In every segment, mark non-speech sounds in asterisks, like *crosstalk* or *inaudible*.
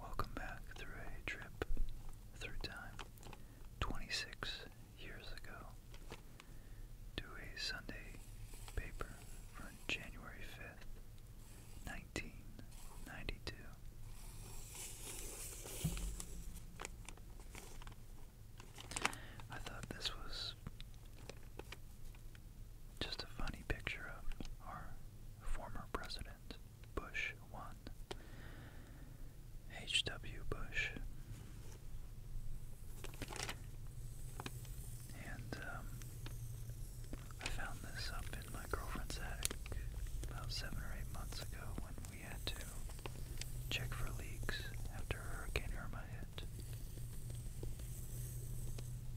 Welcome back through a trip through time 26 years ago to a Sunday paper from January 5th, 1992. I thought this was just a funny picture of our former president, Bush 1. H.W. Bush. And um, I found this up in my girlfriend's attic about seven or eight months ago when we had to check for leaks after Hurricane Irma hit.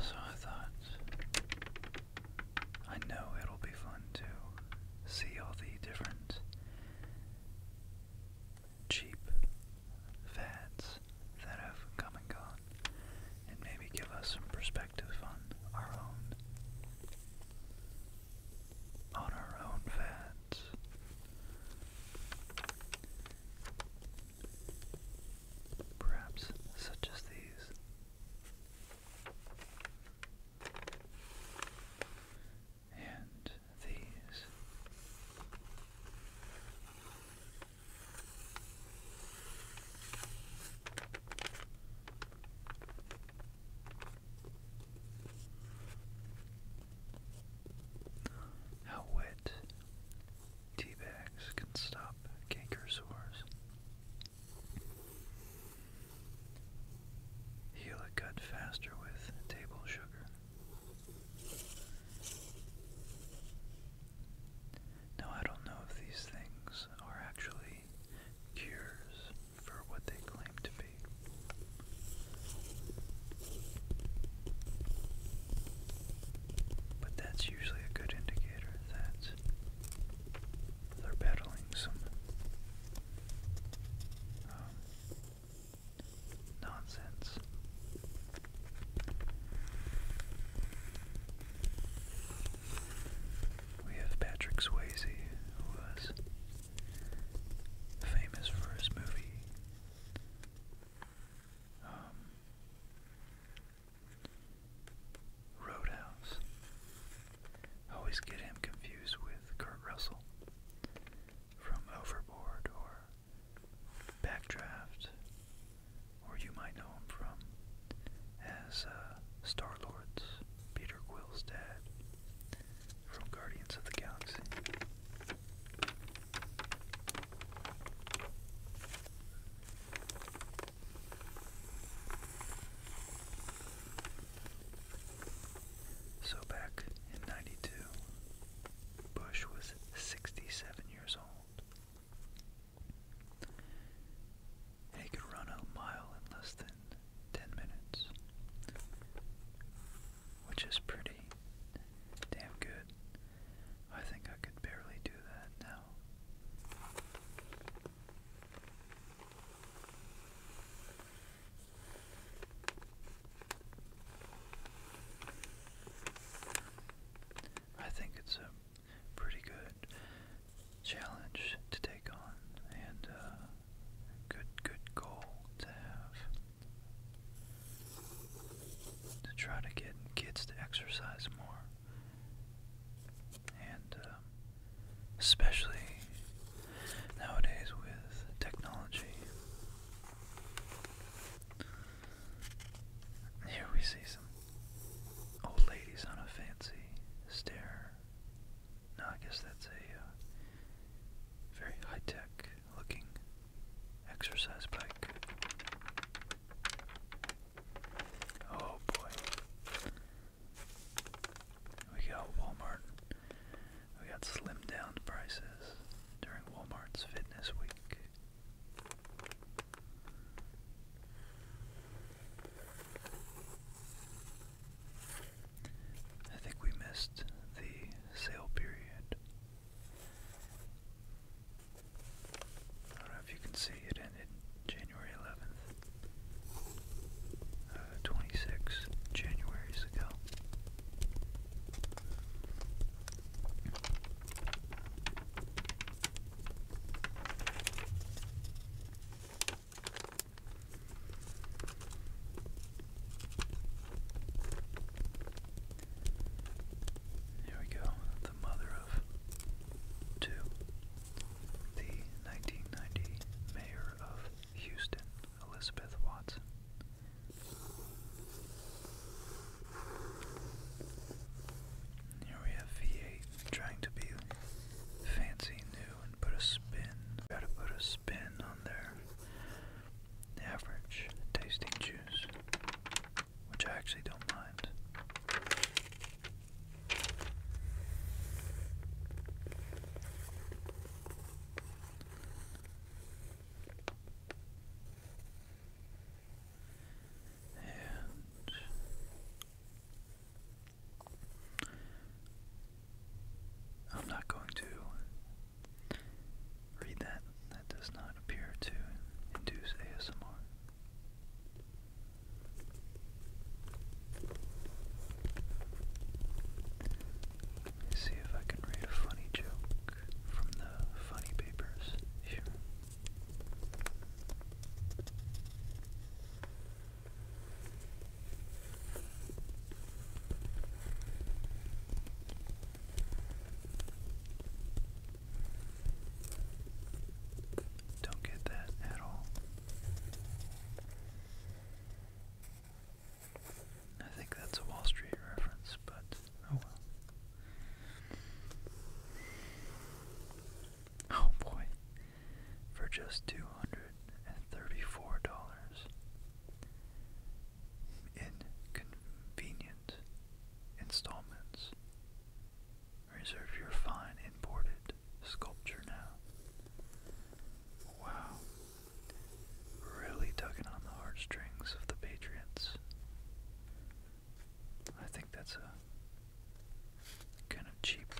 So I thought I know it'll be fun to see all the different cheap fads that have come and gone and maybe give us some perspective on our own on our own fads. Perhaps such as these and these. How wet tea bags can stop canker sores. Heal it cut faster with table sugar. Now, I don't know if these things are actually cures for what they claim to be. But that's usually a good indicator that they're battling some um, nonsense. We have Patrick Swayze, who was famous for his movie. Um, Roadhouse always get him confused with Kurt Russell from Overboard or Backdraft, or you might know him from as uh, Star Lord's Peter Quill's dad from Guardians of the Galaxy. So back in 92, Bush was 67 years old. he could run a mile in less than 10 minutes, which is pretty damn good. I think I could barely do that now. I think it's a pretty good challenge to take on and uh, good good goal to have to try to get kids to exercise more and um, especially nowadays with technology. Here we see some old ladies on a fancy stair. Now I guess that's a uh, very high-tech looking exercise bike. Oh boy. We got Walmart. We got slimmed down prices during Walmart's Fitness Week. I think we missed the sale period. I don't know if you can see it ended January 11th. Uh, 26 January. ago. Here we go, the mother of two, the 1990 mayor of Houston, Elizabeth Watson. Here we have V8 trying to be fancy new and put a spin, try to put a spin on their average tasting juice, which I actually don't mind. And I'm not going to read that. That does not appear to induce ASMR. Let's see if I can read a funny joke from the funny papers Don't get that at all. I think that's a Wall Street reference, but oh well. Oh boy. For just two hundred and thirty-four dollars. In convenient installments. Reserve your fine imported sculpture now. Wow. Really tugging on the heartstrings of the Patriots. I think that's a kind of cheap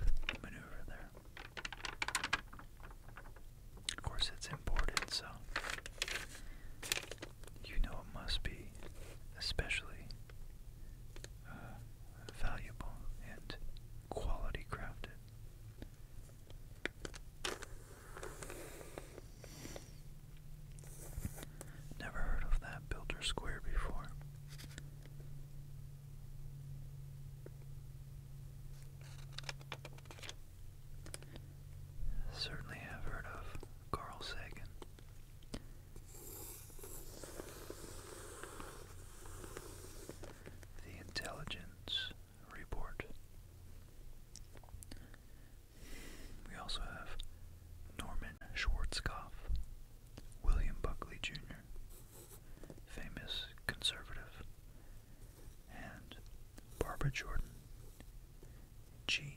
maneuver there. Of course, it's imported, so you know it must be especially uh, valuable and quality crafted. Never heard of that builder square before. Certainly have heard of Carl Sagan. The intelligent report. We also have Norman Schwarzkopf, William Buckley Jr., famous conservative, and Barbara Jordan, Jean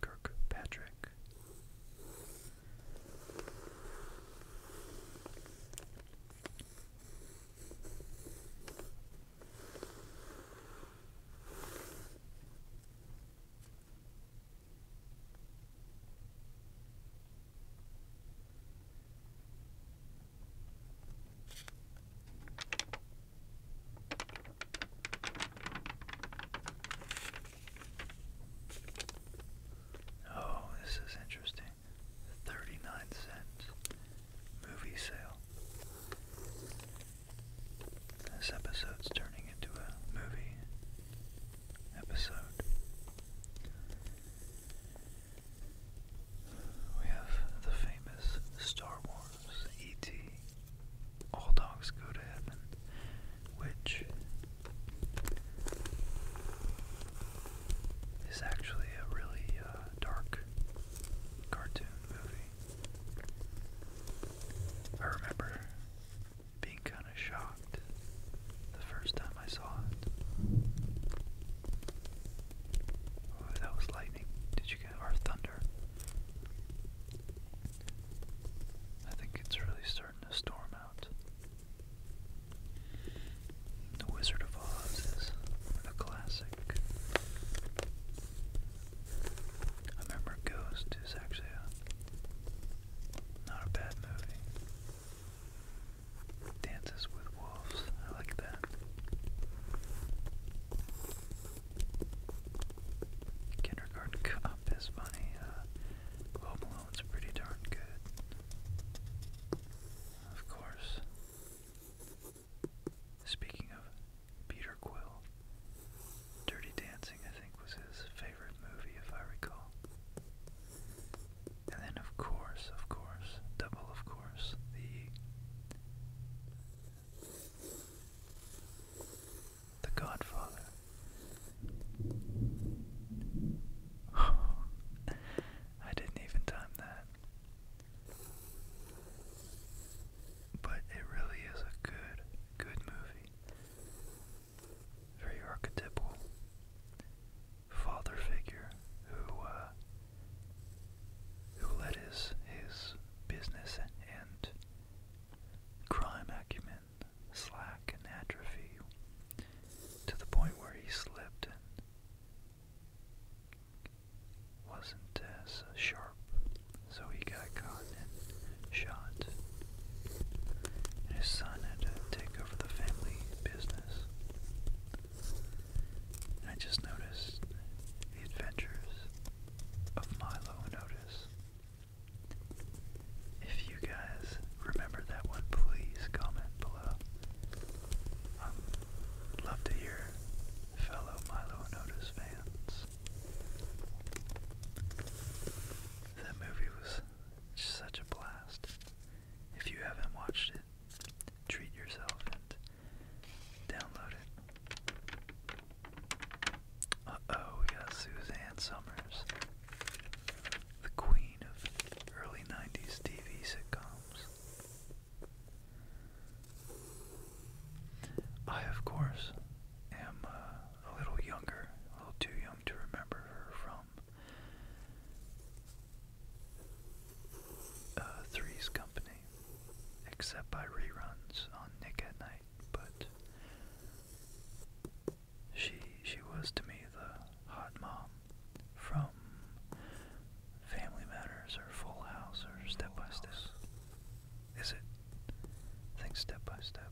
Kirkpatrick. Oh, this is interesting. 39 cents. Movie sale. This episode's turning into a movie episode. We have the famous Star Wars E.T. All Dogs Go to Heaven, which is actually a really uh, dark cartoon movie. I remember being kind of shocked the first time I saw it. Oh, that was lightning. Did you get or thunder? I think it's really starting to storm out. The Wizard of Oz is a classic. I remember Ghost is actually not a bad movie. Dances with Wolves, I like that. Kindergarten Cop is funny. Uh, Home Alone's pretty darn good. Of course. Speaking of Peter Quill, Dirty Dancing, I think, was his favorite movie, if I recall. And then, of course, of course, double, of course, the the Godfather. *laughs* *laughs* I didn't even time that. But it really is a good, good movie. Very archetypal father figure who uh, who let his his business and crime acumen slack and atrophy to the point where he slipped wasn't as uh, sharp, so he got caught and shot. And his son had to take over the family business. I just noticed the adventures of Milo and If you guys remember that one, please comment below love to hear fellow Milo and fans. That movie was such a blast. If you haven't watched it, treat yourself and download it. Uh oh, we got Suzanne Summers, the queen of early 90s TV sitcoms. I, of course, am uh, a little younger, a little too young to remember her from uh, Three's Company, except by reruns on Nick at Night. But she she was to me the hot mom from Family Matters or Full House or Step by Step? Is it? I think Step by Step.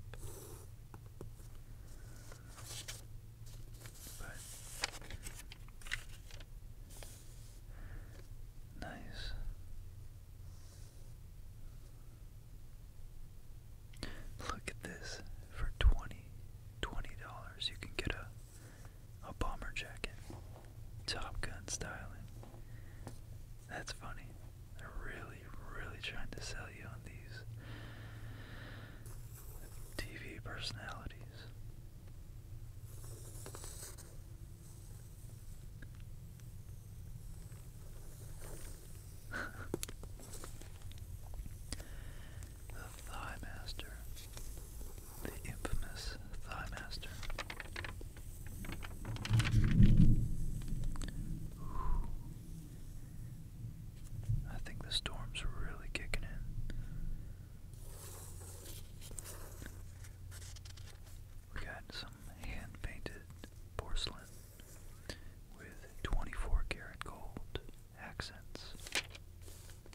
But nice. Look at this. For twenty twenty dollars you can get a a bomber jacket. Top Gun styling. That's funny. They're really, really trying to sell you on these TV personalities. *laughs* the Thigh the infamous Thigh Master. I think the storm's really kicking in. We got some hand painted porcelain with 24 karat gold accents.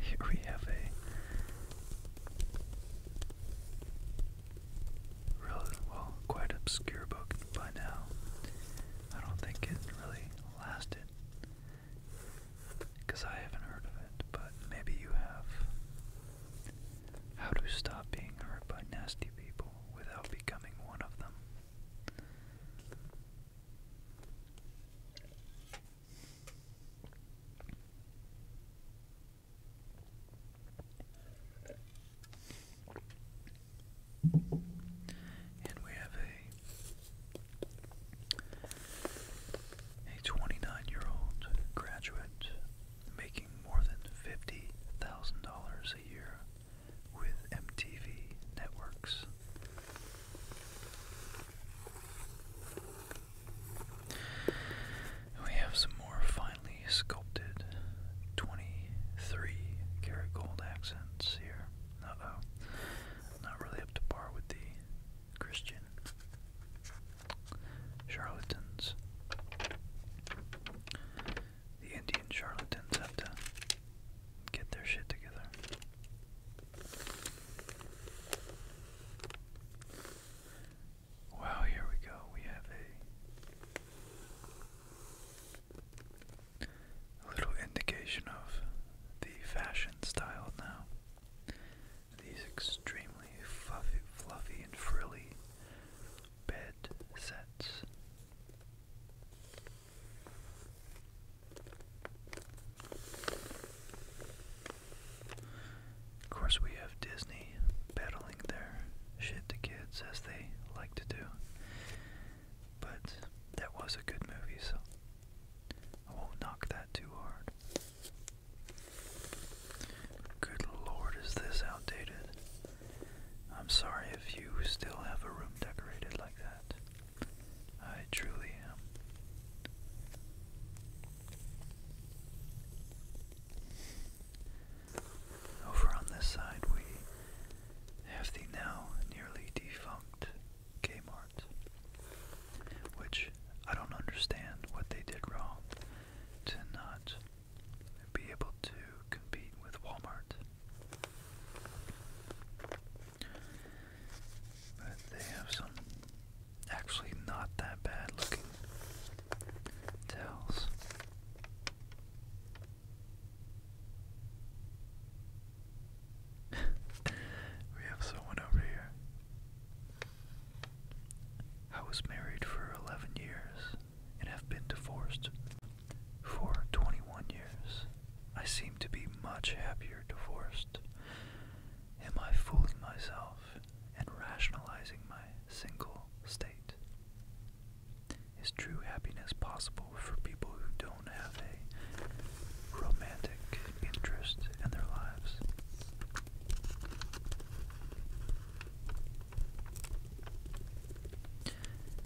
Here we have a really well quite obscure book by now. I don't think it really lasted because I haven't heard of it, but maybe you have. How to stop being hurt by nasty people without becoming one of them. And we have a a twenty nine year old graduate making more than fifty thousand dollars a year with MTV Networks. we have some more finely sculpted 23 karat gold accents here. Uh oh. Not really up to par with the Christian charlatans the Indian charlatans have to get their shit together. Wow, here we go. We have a, little indication of the fashion style now. These extremely fluffy and frilly bed sets. Of course, we have Disney peddling their shit to kids as they like to do. But that was a good movie, so I won't knock that too hard. Good lord, is this outdated? I'm sorry if you still have a room decorated like that. I truly am. Over on this side, we have the now nearly defunct Kmart, which I don't understand what they did wrong to not be able to compete with Walmart. But they have some actually not that bad looking tails. *laughs* we have someone over here. I was married for 11 years and have been divorced for 21 years, I seem to be much happier divorced. Am I fooling myself and rationalizing my single state? Is true happiness possible for people who don't have a romantic interest in their lives?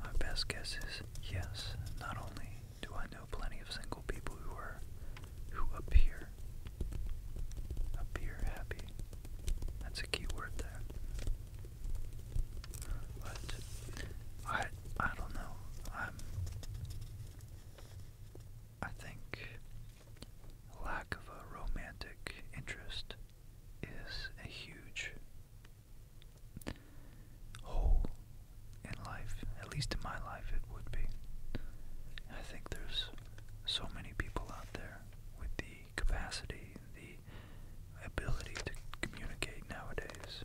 My best guess is yes, not only do I know plenty of single people who are who appear appear happy. That's a key word there. But I I don't know. I'm I think lack of a romantic interest is a huge whole in life. At least in my life, it would be. I think there's so many people out there with the capacity, the ability to communicate nowadays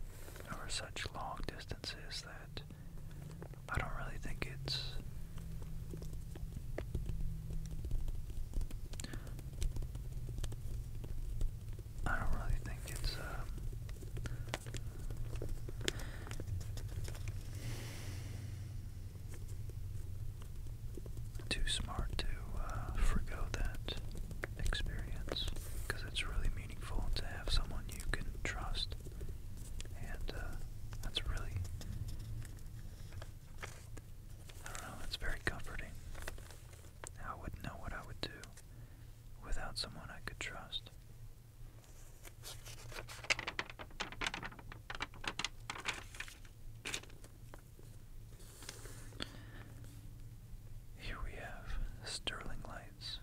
over such long distances that I don't really think it's I don't really think it's, uh, too smart to uh, forego that experience because it's really meaningful to have someone you can trust, and uh, that's really, I don't know, it's very comforting. I wouldn't know what I would do without someone I could trust. Here we have Sterling Lights.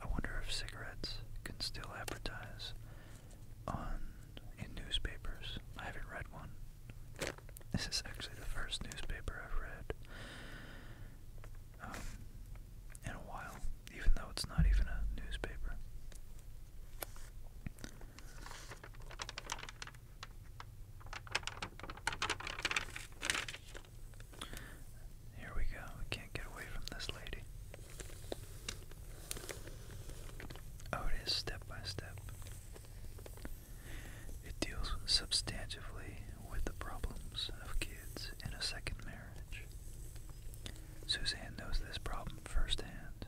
I wonder if cigarettes can still advertise on in newspapers. I haven't read one. This is actually the first newspaper I've read um, in a while, even though it's not even a newspaper. Here we go. We can't get away from this lady. Oh, it is step by step. It deals substantively with the problems of kids in a second marriage. Suzanne knows this problem firsthand.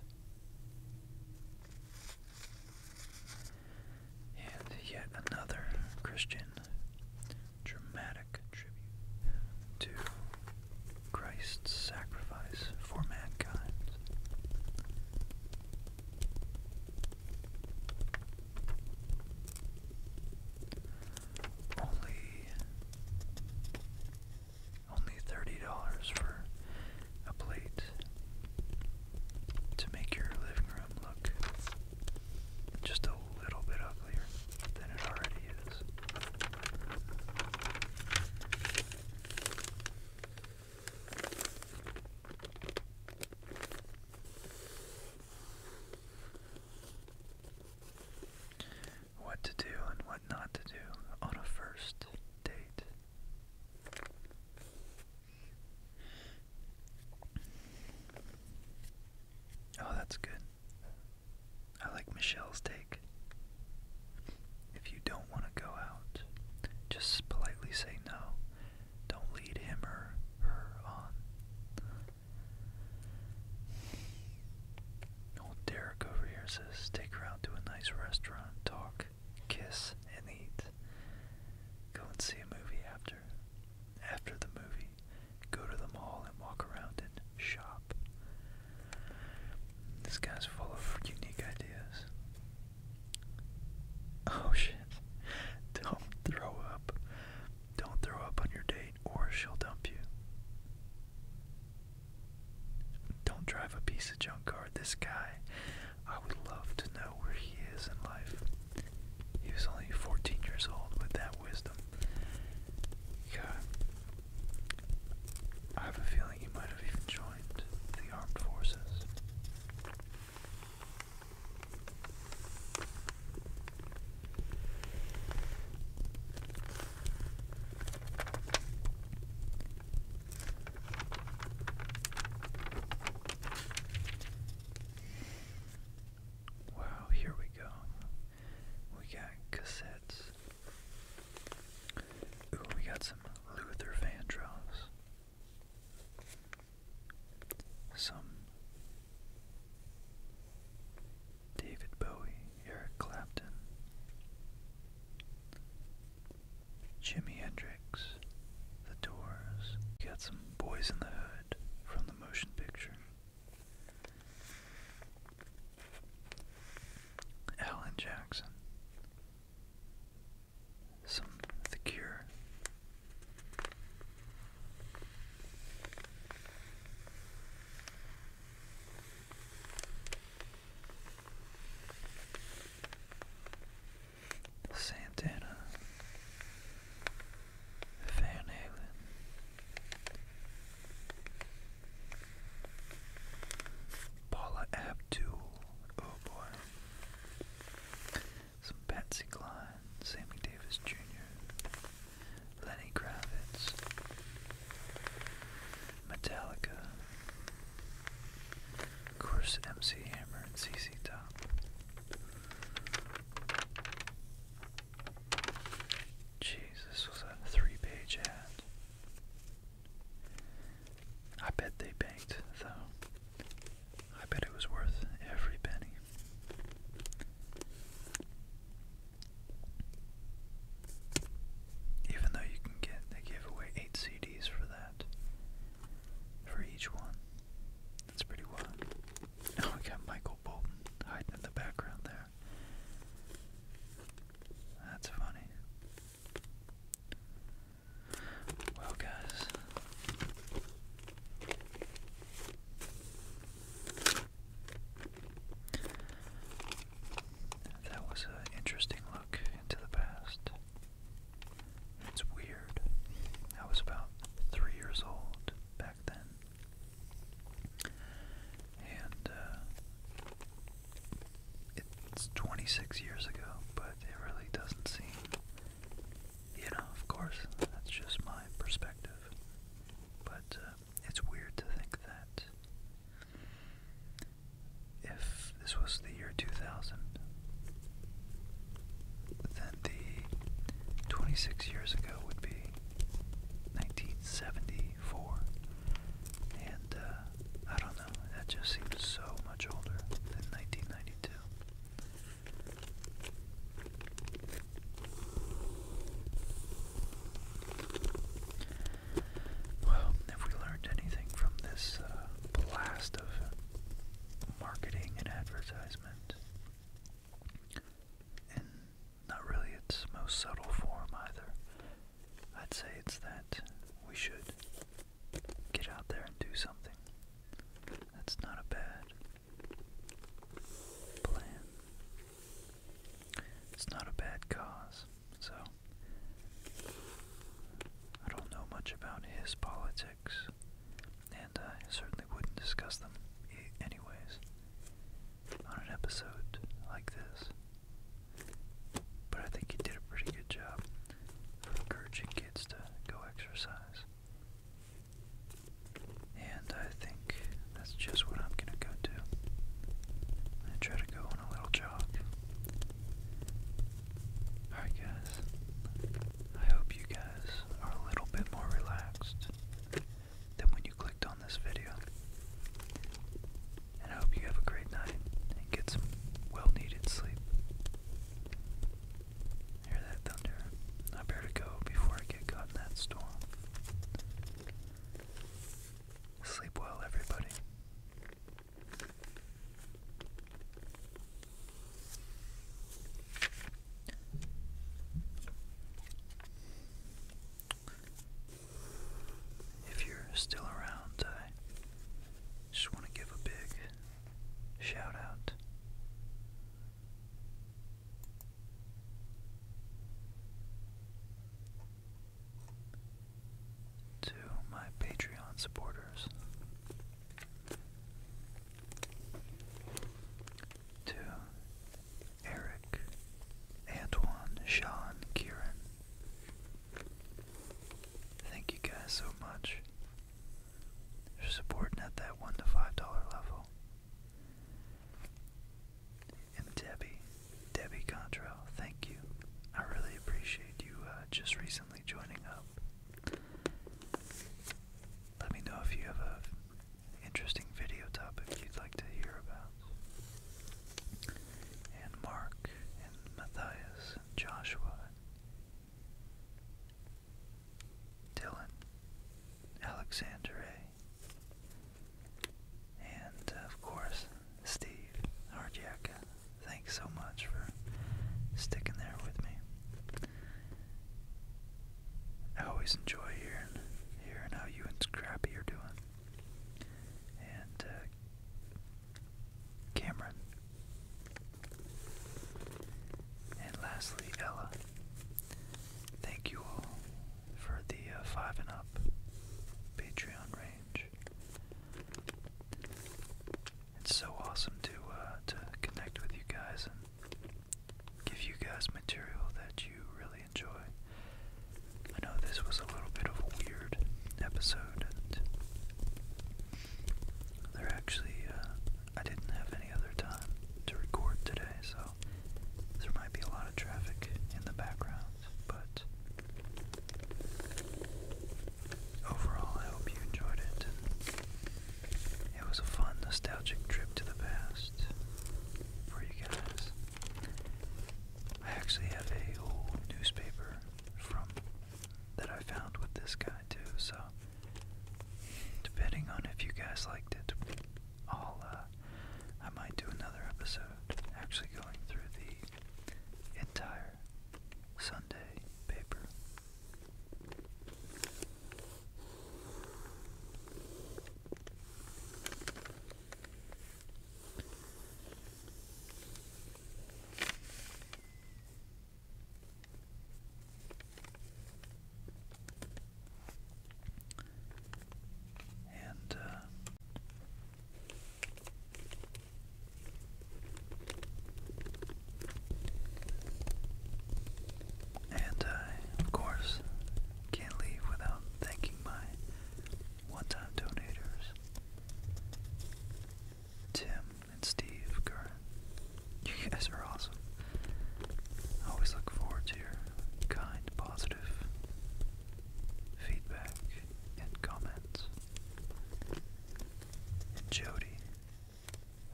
And yet another Christian dramatic tribute to Christ's sacrifice for mankind. Only only thirty dollars for a plate to make your living room look just a little bit uglier than it already is. What to do and what not to do on a first date. Oh, that's good. I like Michelle's take. If you don't want to go out, just politely say no. Don't lead him or her on. Old Derek over here says, take her out to a nice restaurant, talk, kiss, and eat. Go and see a movie after. After the movie, go to the mall and walk around and shop. This guy's full of unique ideas. Oh shit. Don't throw up. Don't throw up on your date or she'll dump you. Don't drive a piece of junk This guy, I would love to know where he is in life. He was only 14 years old with that wisdom. God. I have a feeling he might have even the armed forces. Wow, here we go. We got cassettes. Ooh, we got some Luther Vandross. Some David Bowie, Eric Clapton, Jimi Hendrix, The Doors. Got some Boys in the Hood from the motion picture. Alan Jackson, some of the cure. Santana, Van Halen, Paula Abdul, oh boy, some Patsy Cline, Sammy Davis Jr., Lenny Kravitz, Metallica, of course MC Hammer and CC Top. Jesus, was was a three page ad. I bet they banked, though. I bet it was worth every penny. Even though you can get, they gave away 8 CDs for that. For each one. That's pretty wild. *laughs* Oh, we got Michael Bolton hiding in the background there. That's funny. Well, guys, that was an interesting look into the past. It's weird. I was about three years old back then. And, uh, it's 26 years ago, but it really doesn't seem. You know, of course, that's just my perspective. But uh, it's weird to think that if this was the year 2000, then the 26 years ago would be 1974. And uh, I don't know, that just seems so much older than 1992. Well, if we learned anything from this uh, blast of marketing and advertisement, in not really its most subtle form either, I'd say it's that we should get out there and do something. That's not a bad plan. It's not a bad cause. So, I don't know much about his politics, and I certainly wouldn't discuss them, anyways, on an episode like this. But I think you did a pretty good job for encouraging kids to go exercise. And I think that's just what I'm gonna go do. I'm gonna try to go on a little jog. Alright guys, I hope you guys are a little bit more relaxed than when you clicked on this video. And I hope you have a great night and get some well needed sleep. Hear that thunder? I better go before I get caught in that storm. Sleep well, everybody. If you're still around, I just want to give a big shout out. To my Patreon supporters, to Eric, Antoine, Sean, Kieran. Thank you guys so much supporting at that one to five dollar level. And Debbie, Debbie Contrail, thank you. I really appreciate you uh, just recently joining up. Let me know if you have an interesting video topic you'd like to hear about. And Mark and Matthias and Joshua Dylan Alexander And uh, of course, Steve Hardjaka. Thanks so much for sticking there with me. I always enjoy hearing, hearing how you and Scrappy are doing. And uh, Cameron. And lastly, Ella. Thank you all for the uh, 5 and Up Patreon range. It's so awesome to uh, to connect with you guys and give you guys material that you really enjoy. I know this was a little bit of a weird episode, they actually, uh, I didn't have any other time to record today, so there might be a lot of traffic in the background, but overall, I hope you enjoyed it. it was a fun, nostalgic trip to the past for you guys. I actually have a old newspaper from that I found with this guy too. So, depending on if you guys liked it, I'll uh, I might do another episode actually going through the entire Sunday paper. And uh, and I, of course, can't leave without thanking my one-time donators, Tim and Steve You guys are awesome. I always look forward to your kind, positive feedback and comments. And Jody,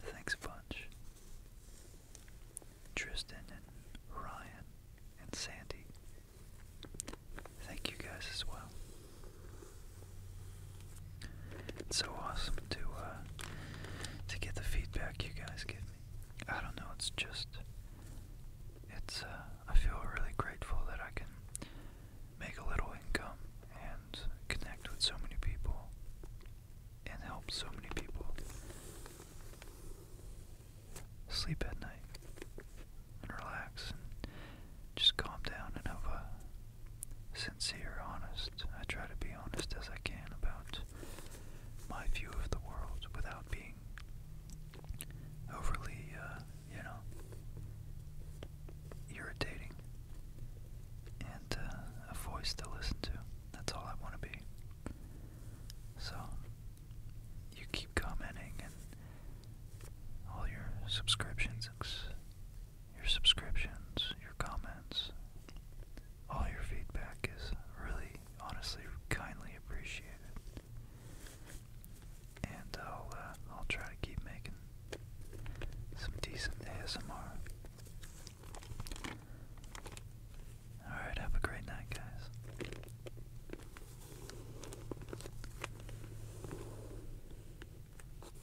thanks a bunch. Tristan and Ryan and Sandy, thank you guys as well. It's so awesome to uh, to get the feedback you guys give me. I don't know. It's just it's. Uh, I feel really grateful that I can make a little income and connect with so many people and help so many people sleep at night and relax and just calm down and have a sincere, honest. I try to be honest as I can about my view of the world without being overly, uh, you know, irritating. And uh, a voice to listen to. That's all I want to be. So, you keep commenting and all your subscriptions, your subscriptions, your comments. All your feedback is really, honestly, kindly appreciated. And I'll, uh, I'll try to keep making some decent ASMR. Alright, have a great night, guys.